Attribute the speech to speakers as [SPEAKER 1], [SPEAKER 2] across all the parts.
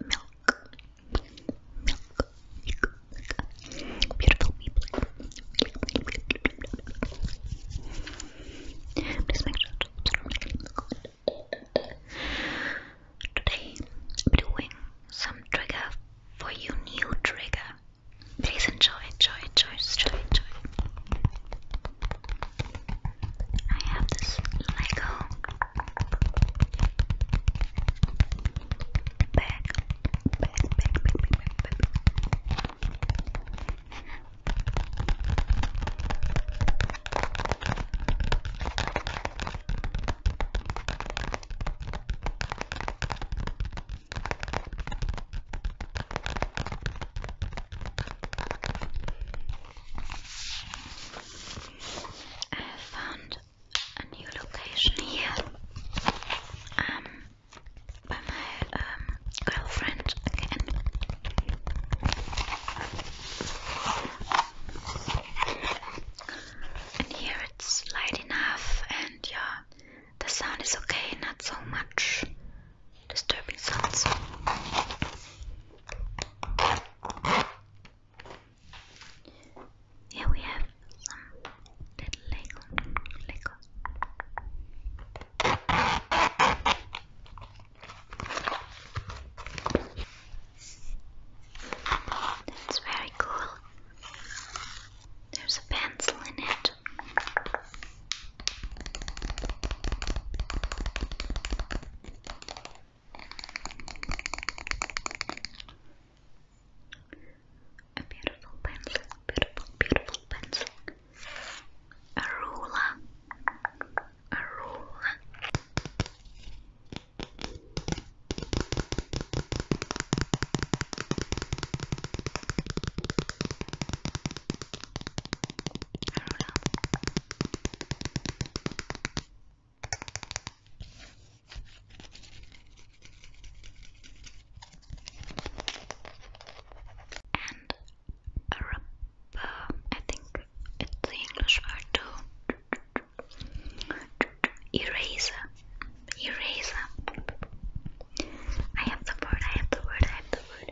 [SPEAKER 1] milk, milk, milk, beautiful people. Please make sure to Today, I'm doing some trigger for you, new trigger. Please enjoy, enjoy, enjoy, enjoy, enjoy. I have this Lego bag, bag, bag, bag, bag, bag, bag. I have found a new location here um, by my um, girlfriend And here it's light enough, and yeah, the sound is okay, not so much disturbing sounds. Here we have some little Lego. Lego. That's very cool. There's a pencil in it. A beautiful pencil, beautiful, beautiful pencil. A ruler, a ruler. I don't know. And a uh, I think it's the English word to eraser. Eraser. I have the word, I have the word, I have the word.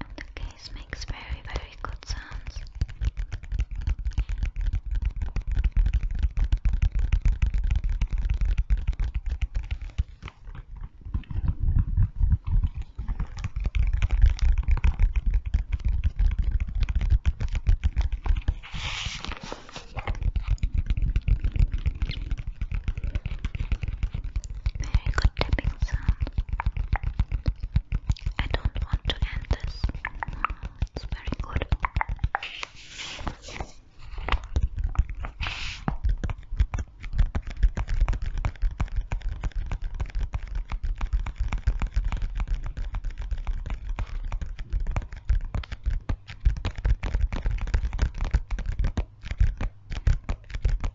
[SPEAKER 1] and the case makes very, very good sounds. Very good tapping sound. I don't want to end this. It's very good. Our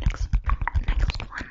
[SPEAKER 1] next, our next one.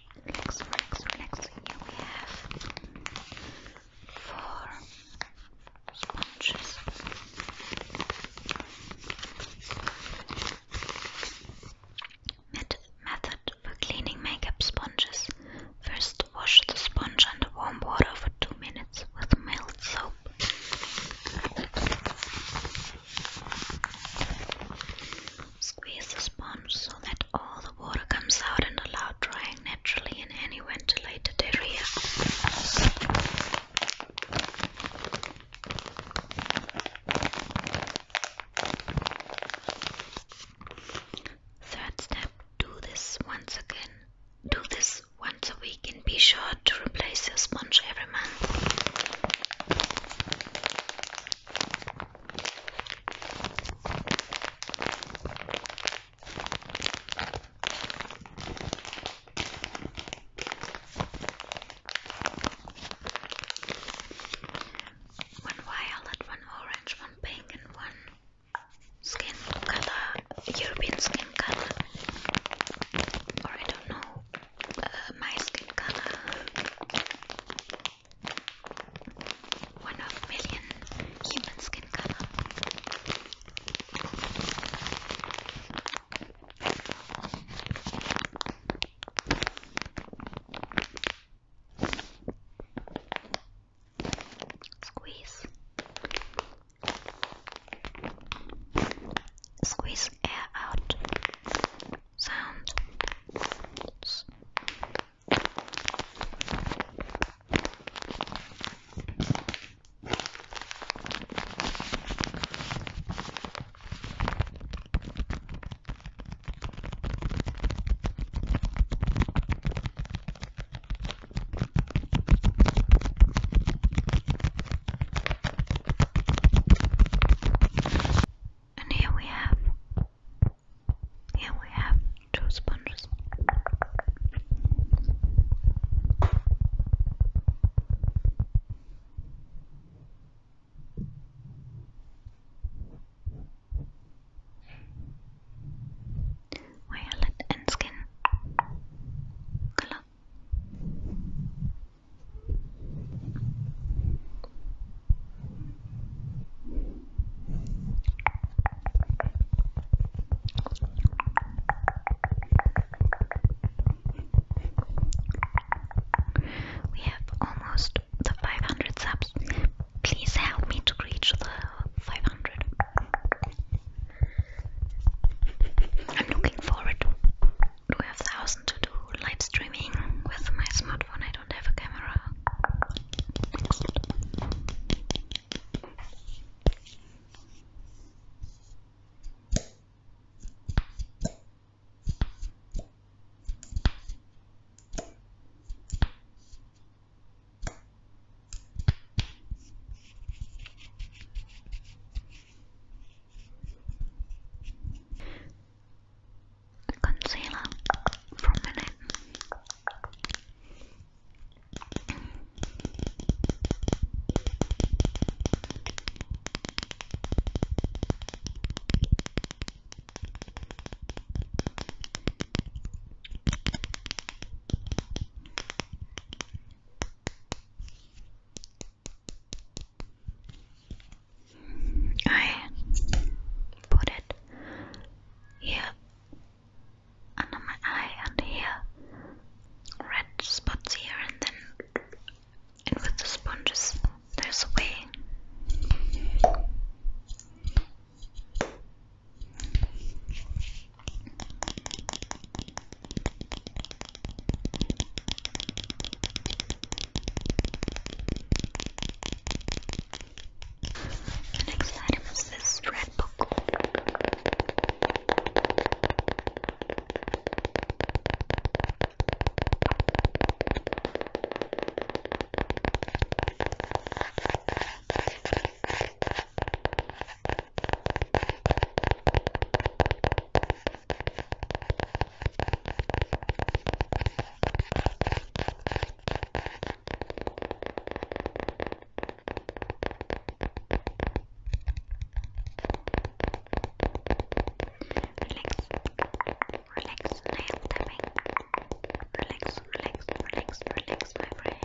[SPEAKER 1] relax, relax, relax. Here we have four sponges. Method, for cleaning makeup sponges. First, wash the sponge under warm water for 2 minutes with mild soap. Squeeze the sponge so that all the water comes out and allow drying naturally in any ventilated area. Third step do this once again. Do this once a week and be sure to replace your sponge every month. One violet, one orange, one pink, and one skin color, European skin color, or I don't know, uh, my skin color. One of a million human skin color. Squeeze. Squeeze air out. Sound. And here we have here we have two sponges. Violet and skin color. We have almost the 500 subs. Please help me to reach the 500. I'm looking forward do have thousand to do live streaming with my smartphone. I don't have a camera concealer from Minute. I put it here under my eye and here red spots here and then and with the sponges there's a way the next item is this red book relax, nail tapping. Relax, relax, relax, relax, my friend, friendy.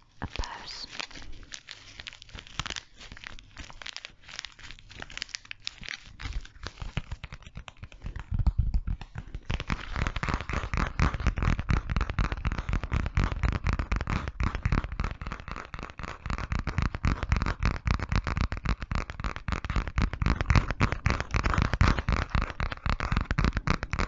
[SPEAKER 1] a person.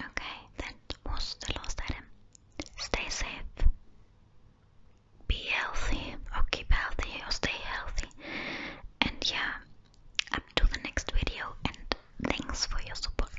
[SPEAKER 1] Okay, that was the last item. Stay safe. Be healthy or keep healthy or stay healthy. And yeah, up to the next video and thanks for your support.